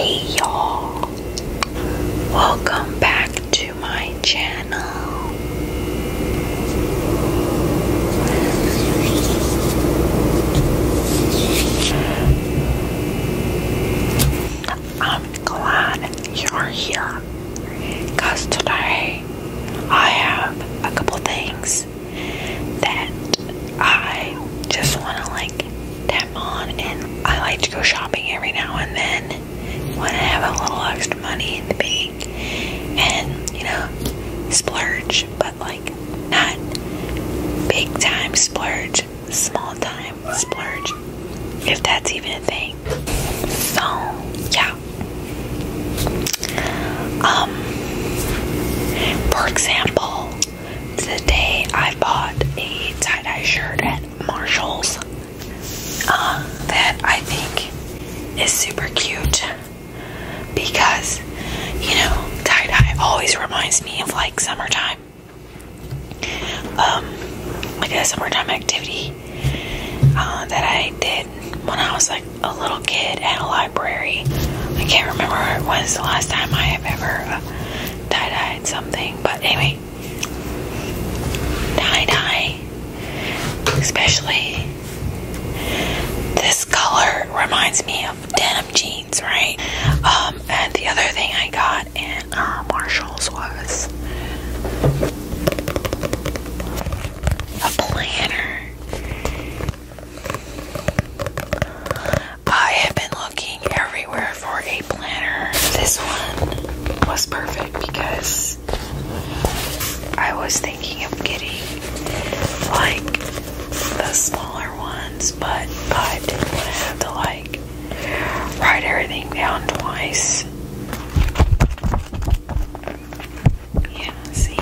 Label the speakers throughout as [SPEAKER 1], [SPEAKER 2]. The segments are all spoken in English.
[SPEAKER 1] Hey y'all, welcome back to my channel. I'm glad you're here because today I have a couple things that I just want to like them I like to go shopping every now and then when I have a little extra money in the bank, and you know, splurge, but like not big time splurge, small time splurge, if that's even a thing. So yeah. Um, for example, Today I bought a tie-dye shirt at Marshall's um, that I think is super cute because you know tie-dye always reminds me of like summertime um like a summertime activity uh, that I did when I was like a little kid at a library. I can't remember when was the last time I have ever uh, tie dye something, but anyway. Tie-dye. Especially this color reminds me of denim jeans, right? Um, and the other thing I got in uh, Marshalls was a planner. I have been looking everywhere for a planner. This one was perfect because I was thinking of getting like the smaller ones, but I didn't want to have to like write everything down twice. Yeah, see?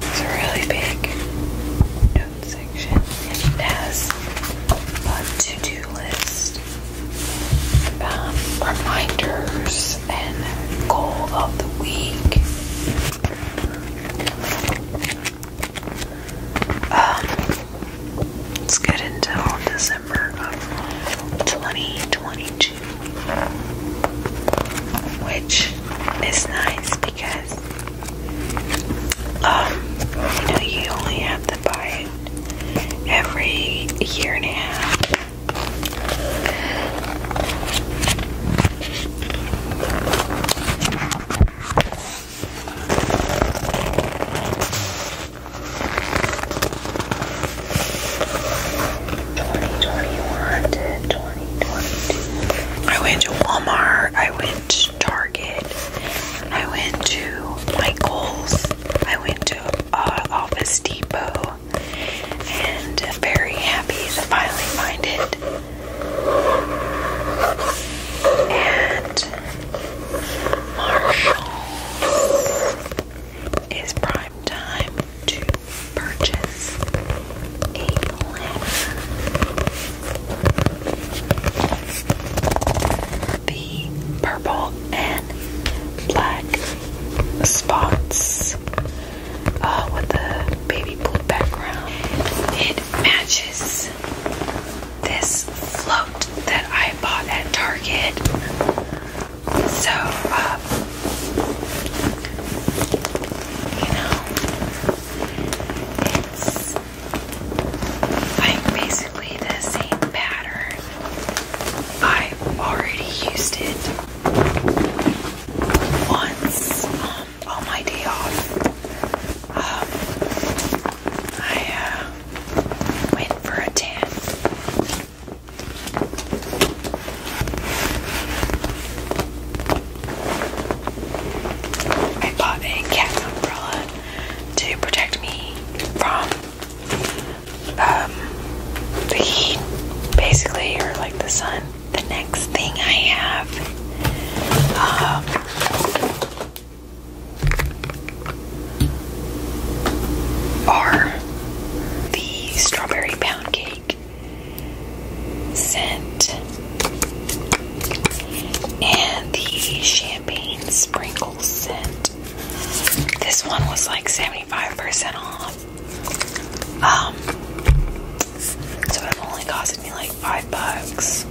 [SPEAKER 1] It's really big section and it has a to-do list, um, reminders, and goal of the week. Um, it's good until December of 2022, which is nice because um, you you only have to buy it every year and a half. 2021 I went to Walmart, I went to Target, I went to Michael's, I went to uh, Office Depot, and very happy to finally find it. And Marshall's is prime time to purchase a planner. The purple and black spots uh, with the baby blue background. It matches this float that I bought at Target. So, uh, you know, it's like basically the same pattern. I already used it once um, on my day off. Um, I uh, went for a tan. I bought a cat umbrella to protect me from um, the heat, basically, or like the sun. The next thing I have um, are the strawberry pound cake scent. And the champagne sprinkle scent. This one was like 75% off. Um, so it only cost me like five bucks.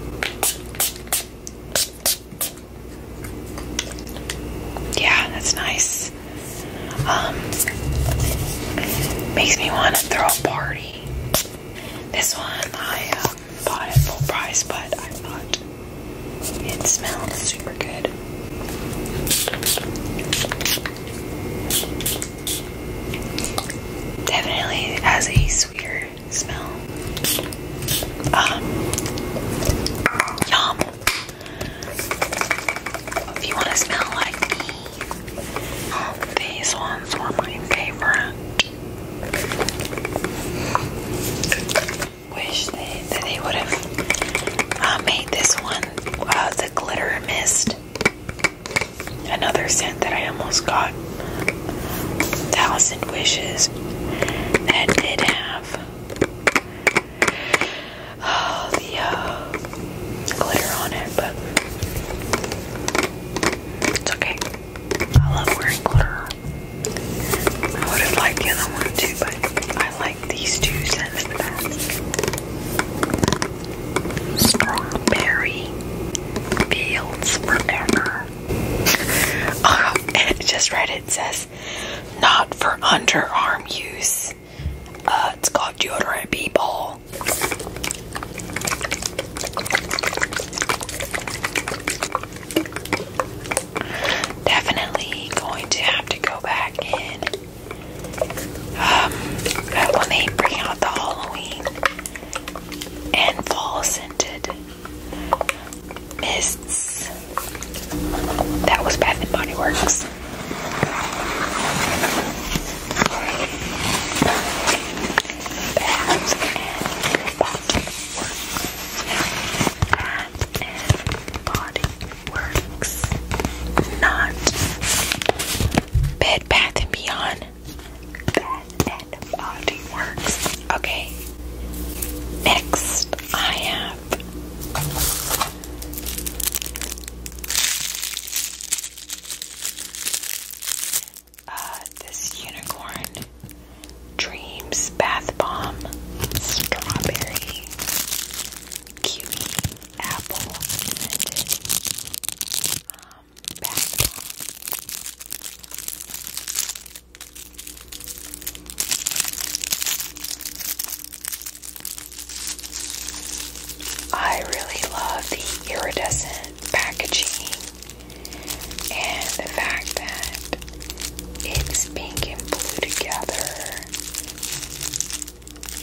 [SPEAKER 1] Yeah, that's nice. Um, makes me want to throw a party. This one I uh, bought at full price, but I thought it smells super good. Definitely has a sweeter smell. Um, yum. If you want to smell like me, these ones were my favorite. Wish they, would have uh, made this one uh, the glitter mist. Another scent that I almost got. Thousand Wishes. That did have oh, the uh, glitter on it, but it's okay. I love wearing glitter. I would have liked the other one too, but I like these two scents the best. Strawberry Fields Forever. oh, and it just read it says, not for underarm use. Uh, it's called deodorant b-ball Definitely going to have to go back in um, when they bring out the Halloween and fall scented mists. That was Bath and Body Works body works. Not Bed Bath and Beyond. Bed Body Works. Okay. Next, I have. Uh, this unicorn dreams bath bomb, strawberry, kiwi, apple, scented um, bath bomb. I really love the iridescent packaging and the fact that it's pink and blue together.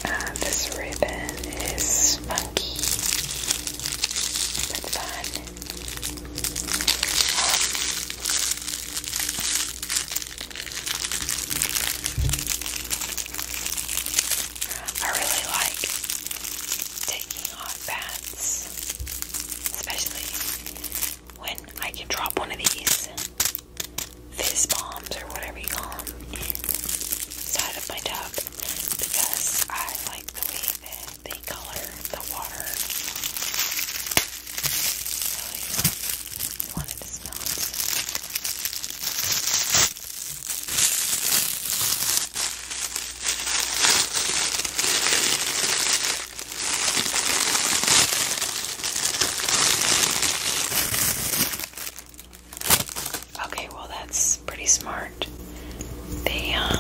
[SPEAKER 1] Uh, this ribbon is funky That's fun. I really like taking hot baths, especially when I can drop one of these fizz bombs or whatever you call them inside of my tub because I like the way that they color the water. Really want to smell. Okay, well, that's pretty smart. They uh,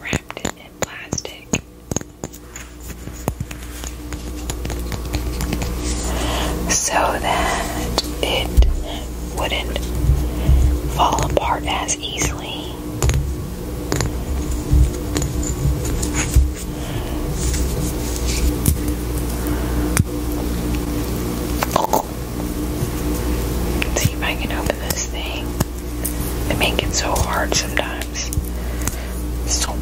[SPEAKER 1] wrapped it in plastic so that it wouldn't fall apart as easily. See if I can open this thing. They make it so hard sometimes. So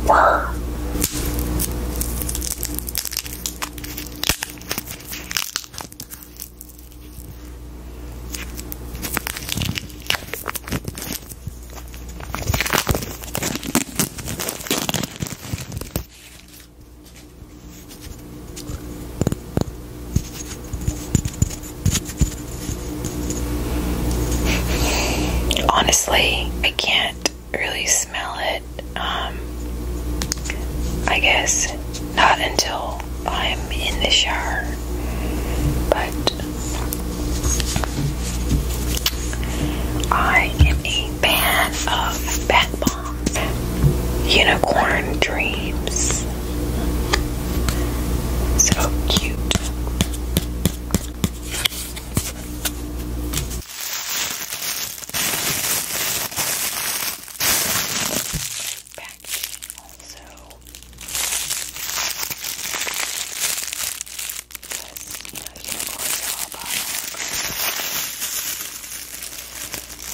[SPEAKER 1] Honestly, I can't really smell it. Um, I guess not until I'm in the shower, but I am a fan of bath bombs. Unicorn Dreams. So cute. Packaging also because you know unicorns are all about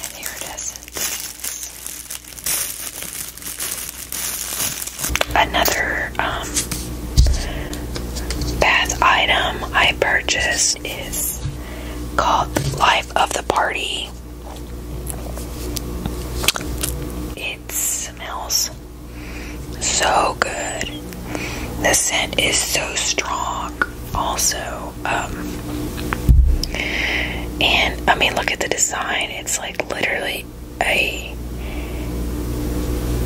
[SPEAKER 1] and iridescent things. Another um, bath item I purchased is called Life of the Party. It smells so good. The scent is so strong, also. Um, and I mean, look at the design. It's like literally a.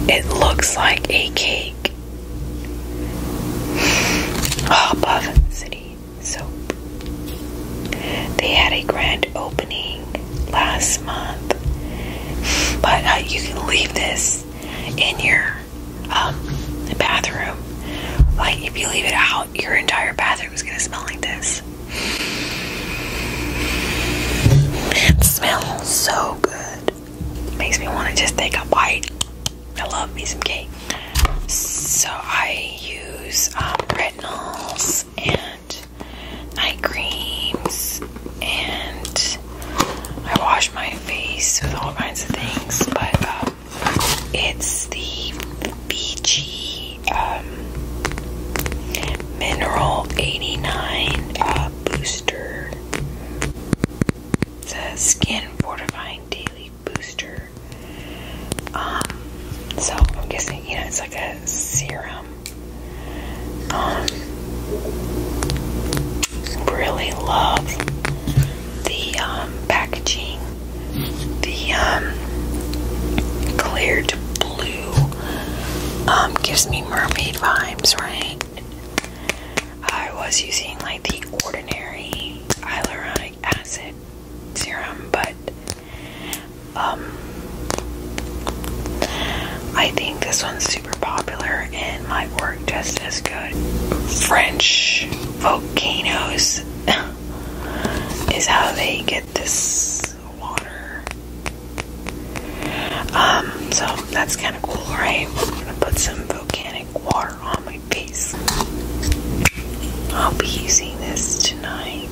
[SPEAKER 1] It looks like a cake. Above City Soap. They had a grand opening last month, but uh, you can leave this in your um, bathroom. Like, if you leave it out, your entire bathroom is going to smell like this. It smells so good. Makes me want to just take a bite. I love me some cake. So I use um, retinols and night creams, and I wash my face with all kinds of things. But um, it's the Fiji um, Mineral 89 uh, Booster it's a skin fortifying daily booster. Um, so I'm guessing, you know, it's like a serum. Um, really love the um, packaging, the clear to blue gives me mermaid vibes, right? I was using like the ordinary hyaluronic acid serum, but um, I think this one's super popular and might work just as good. French volcanoes is how they get this water um, so that's kind of cool, right? put some volcanic water on my face. I'll be using this tonight.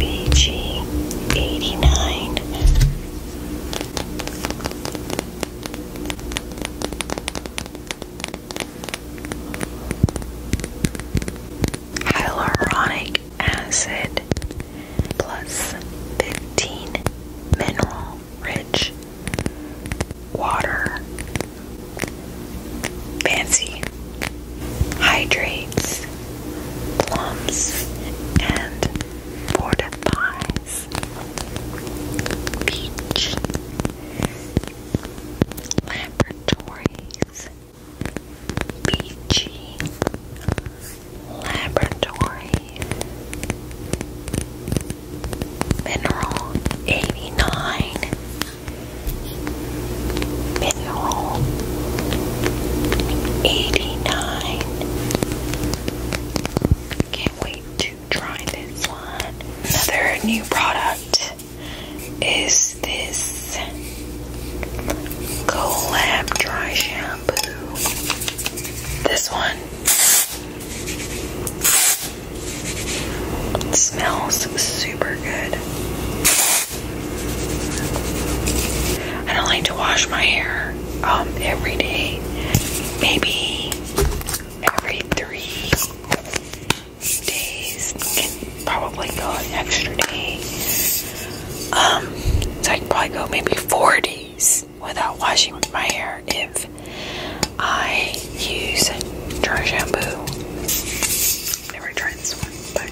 [SPEAKER 1] BG eighty nine hyaluronic acid plus 15 mineral rich water. Fancy hydrates, plumps, and fortifies. Beach. Laboratories, BG Laboratories, Mineral 89, Mineral 89. Can't wait to try this one. Another new product is this Colab Dry Shampoo. This one smells super good. I don't like to wash my hair um, every day, maybe every three days can probably go an extra day. Um, so I can probably go maybe four days without washing my hair if I use dry shampoo. never tried this one, but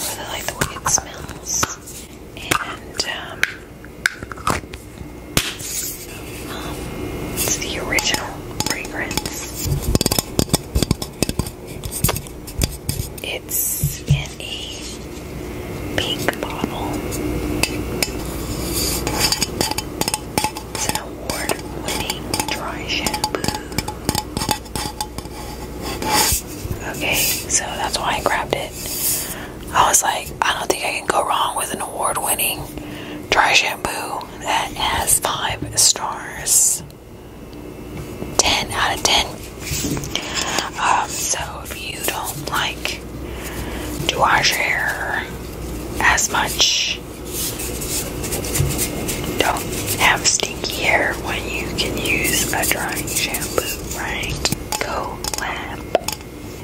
[SPEAKER 1] really like the way it smells. And um, it's the original fragrance. It's in a pink bottle. It's an award-winning dry shampoo. Okay, so that's why I grabbed it. I was like, I don't think I can go wrong with an award-winning dry shampoo that has five stars. 10 out of 10. Um, so if you don't like do our hair as much, don't have stinky hair when you can use a drying shampoo, right? Go lab.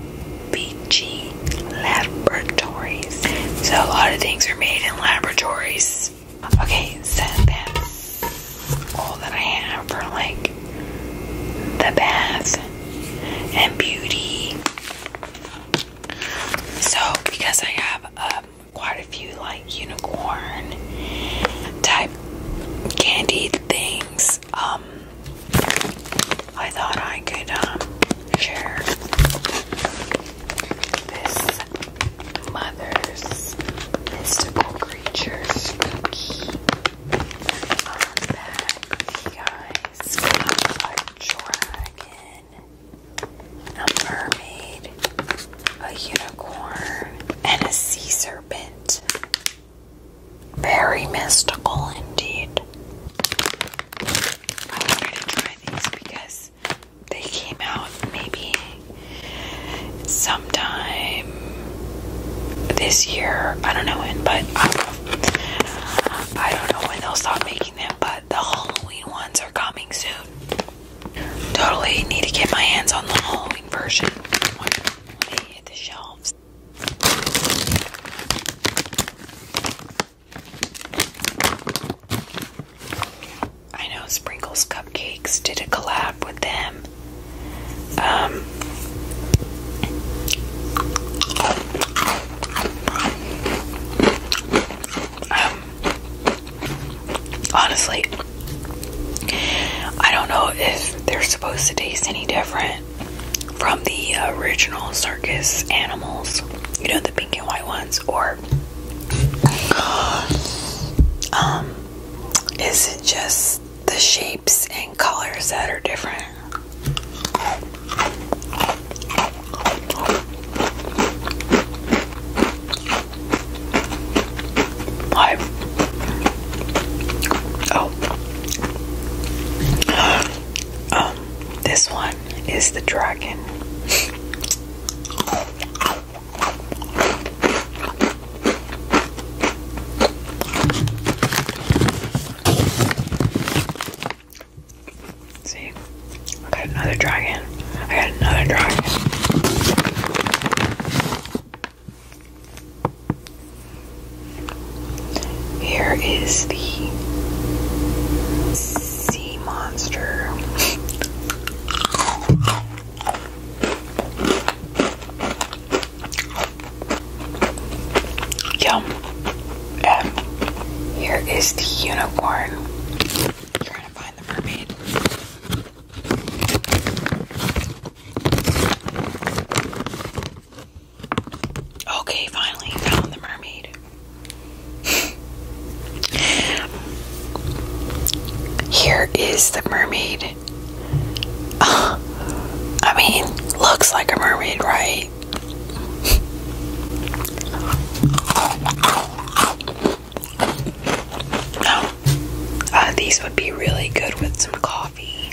[SPEAKER 1] FBG Laboratories. So a lot of things are made in laboratories. Okay, so that's all that I have for like the bath and beauty. So because I have um, quite a few like unicorn type candy things, um, I thought I could um, share this Mother's Mystical Creatures cookie unpack, you A dragon, a mermaid, a unicorn, and a sea serpent. Very mystical indeed. I wanted to try these because they came out maybe sometime this year. I don't know when, but I don't know, uh, I don't know when they'll stop making them, but the Halloween ones are coming soon. Totally need to get my hands on the Halloween version when they hit the shelves. I know Sprinkles Cupcakes did a collab with them. Um, um, honestly, I don't know if they're supposed to taste any different from the original circus animals, you know, the pink and white ones, or um, is it just the shapes and colors that are different? Why? Oh. Um, this one is the dragon. See, got another dragon. got another dragon. Here is the sea monster. Yum. here is the unicorn. Okay, finally found the mermaid. Here is the mermaid. I mean, looks like a mermaid, right? Oh, uh, these would be really good with some coffee.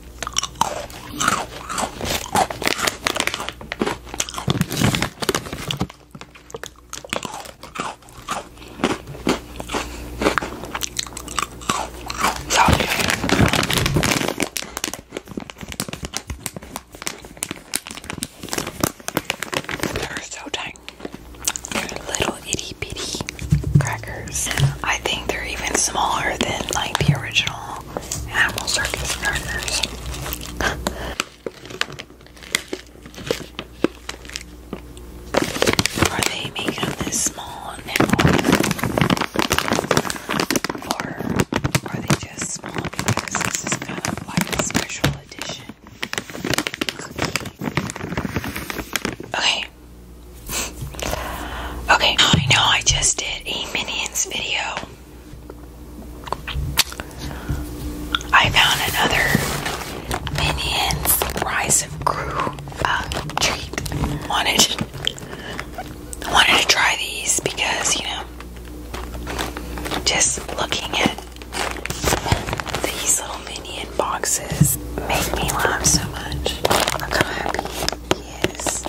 [SPEAKER 1] They're so dang. They're little itty bitty crackers. I think they're even smaller than like the original animal Circus crackers. Are they making this small now? Or are they just small because this kind of like a special edition? Okay, Okay. I know I just did a Minions video. I found another Minions Rise of Crew uh, treat. Wanted, wanted to try these because, you know, just looking at these little minions boxes make me laugh so much. Look how happy he is.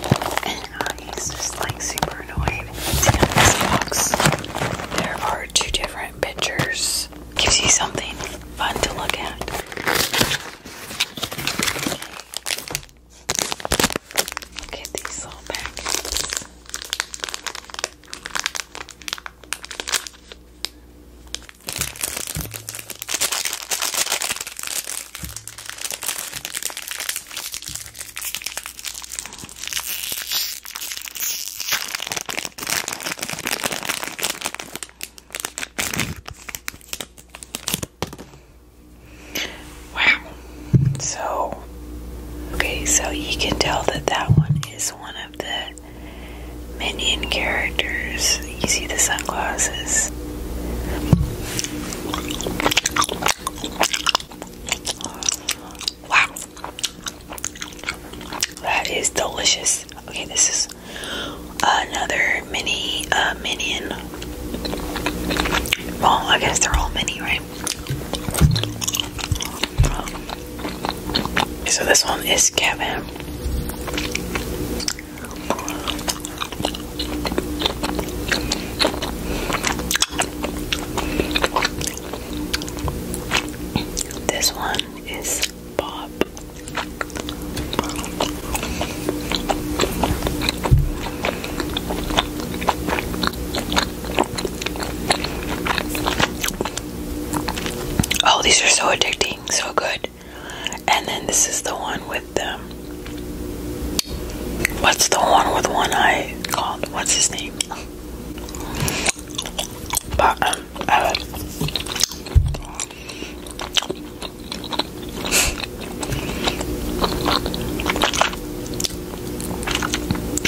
[SPEAKER 1] And I just like super annoyed. See, this box, there are two different pictures. Gives you something fun to look at. Look at these little packets. Wow. So, okay, so you can tell that that one is one of the Minion characters. You see the sunglasses. Wow. That is delicious. Okay, this is another mini uh, minion. Well, I guess they're all mini, right? So this one is Kevin. This one is Bob. Oh, these are so addicting, so good. And then this is the one with the. What's the one with one eye called? What's his name? Um, uh,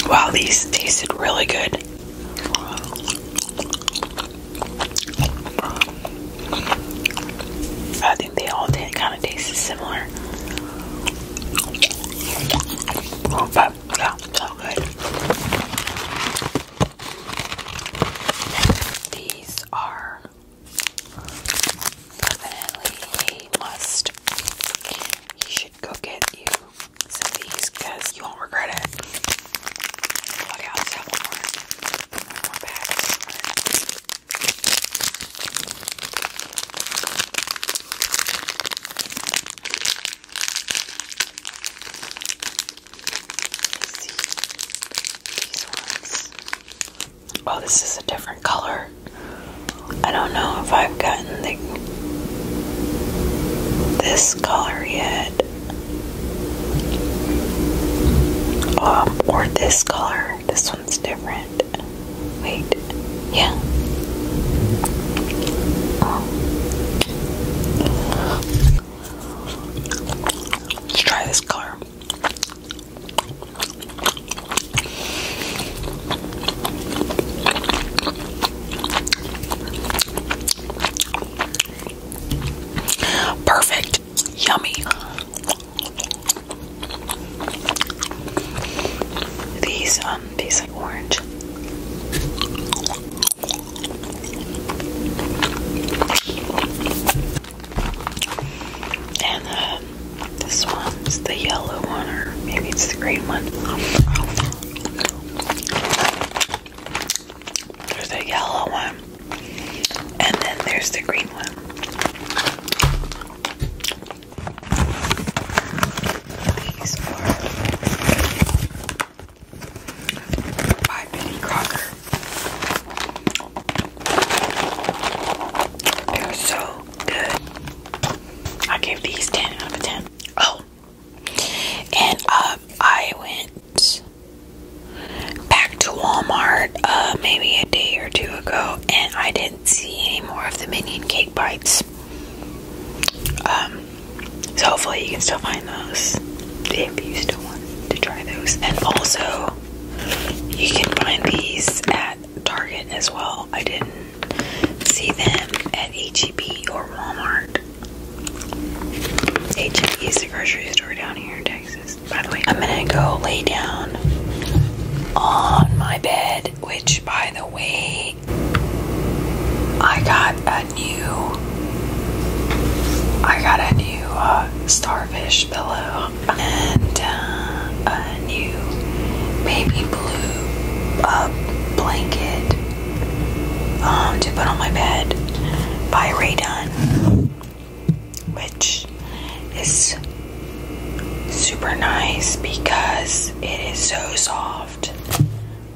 [SPEAKER 1] wow, these tasted really good. I think they all kind of taste similar. Oh, so good. These are definitely a must. You should go get you some of these because you won't regret it oh, this is a different color. I don't know if I've gotten this color yet. Um, or this color. This one's different. Wait. Yeah. Oh. Let's try this color. Perfect. Yummy. These um these are orange. And uh, this one's the yellow one, or maybe it's the green one. There's the yellow one, and then there's the green one. by Betty Crocker. They're so good. I gave these 10 out of 10. Oh, and um, I went back to Walmart uh, maybe a day or two ago, and I didn't see any more of the minion cake bites. Um, so hopefully you can still find those if you still want to try those. And also, you can find these at Target as well. I didn't see them at HEB or Walmart h and is the grocery store down here in Texas. By the way, I'm gonna go lay down on my bed, which, by the way, I got a new, I got a new uh, starfish pillow and uh, a new baby blue uh, blanket um, to put on my bed by Raydon which is super nice because it is so soft.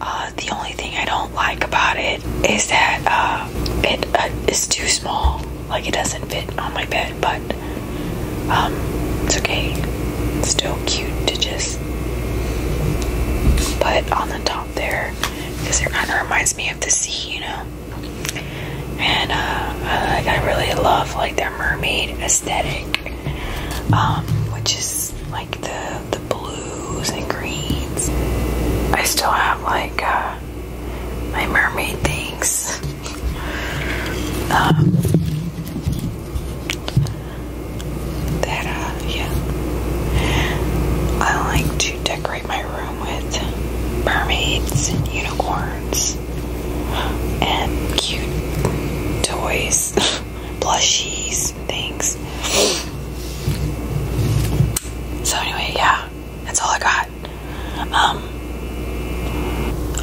[SPEAKER 1] Uh, the only thing I don't like about it is that uh, it uh, is too small, like it doesn't fit on my bed, but um, it's okay. still cute to just put on the top there because it kind of reminds me of the sea, you know. And uh, like I really love like that mermaid aesthetic, um, which is like the the blues and greens. I still have like uh, my mermaid things. Um, that uh, yeah, I like to decorate my room with mermaids and unicorns and cute toys, plushies, things. So anyway, yeah, that's all I got. Um,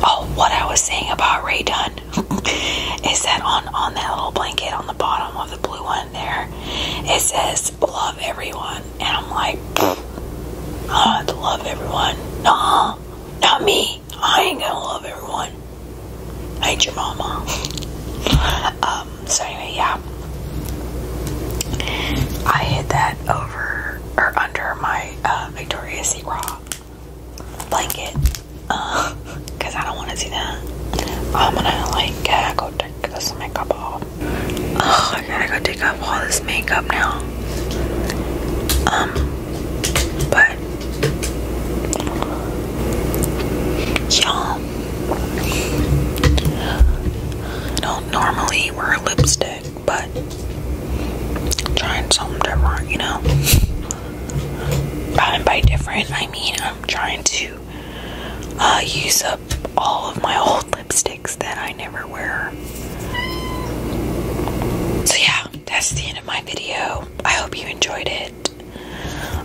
[SPEAKER 1] oh, what I was saying about Ray Dunn is that on on that little blanket on the bottom of the blue one there, it says just love everyone. And I'm like, oh, I love everyone. Nah, not me. I ain't gonna love everyone. I ain't your mama. um, so anyway, yeah. I hid that over or under my uh, Victoria's Secret blanket because uh, I don't want to see that. I'm gonna like uh, go take this makeup off. Oh, I gotta go take off all this makeup now. Um, but y'all don't normally wear lipstick, but I'm trying something different, you know. And by different, I mean I'm trying to uh, use up all of my old lipsticks that I never wear. So, yeah, that's the end of my video. I hope you enjoyed it.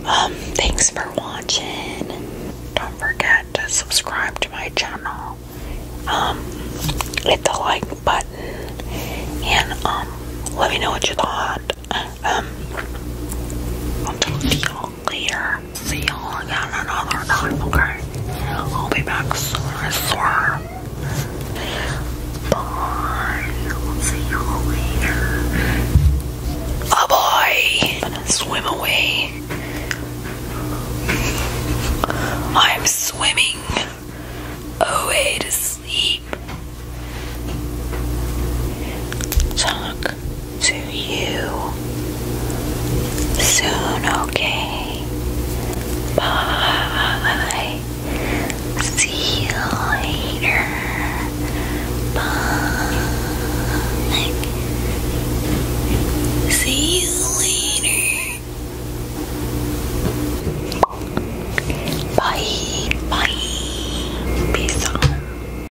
[SPEAKER 1] Um, thanks for watching. Don't forget to subscribe to my channel. Um, hit the like button and um, let me know what you thought. Um, I'll talk to you later. See y'all again another time, okay? I'll be back soon, I swear. Bye. i see you later. Oh boy! swim away. I'm swimming away to sleep. Talk to you soon, okay? Bye. See you later. Bye. See you later. Bye. Bye. Peace out.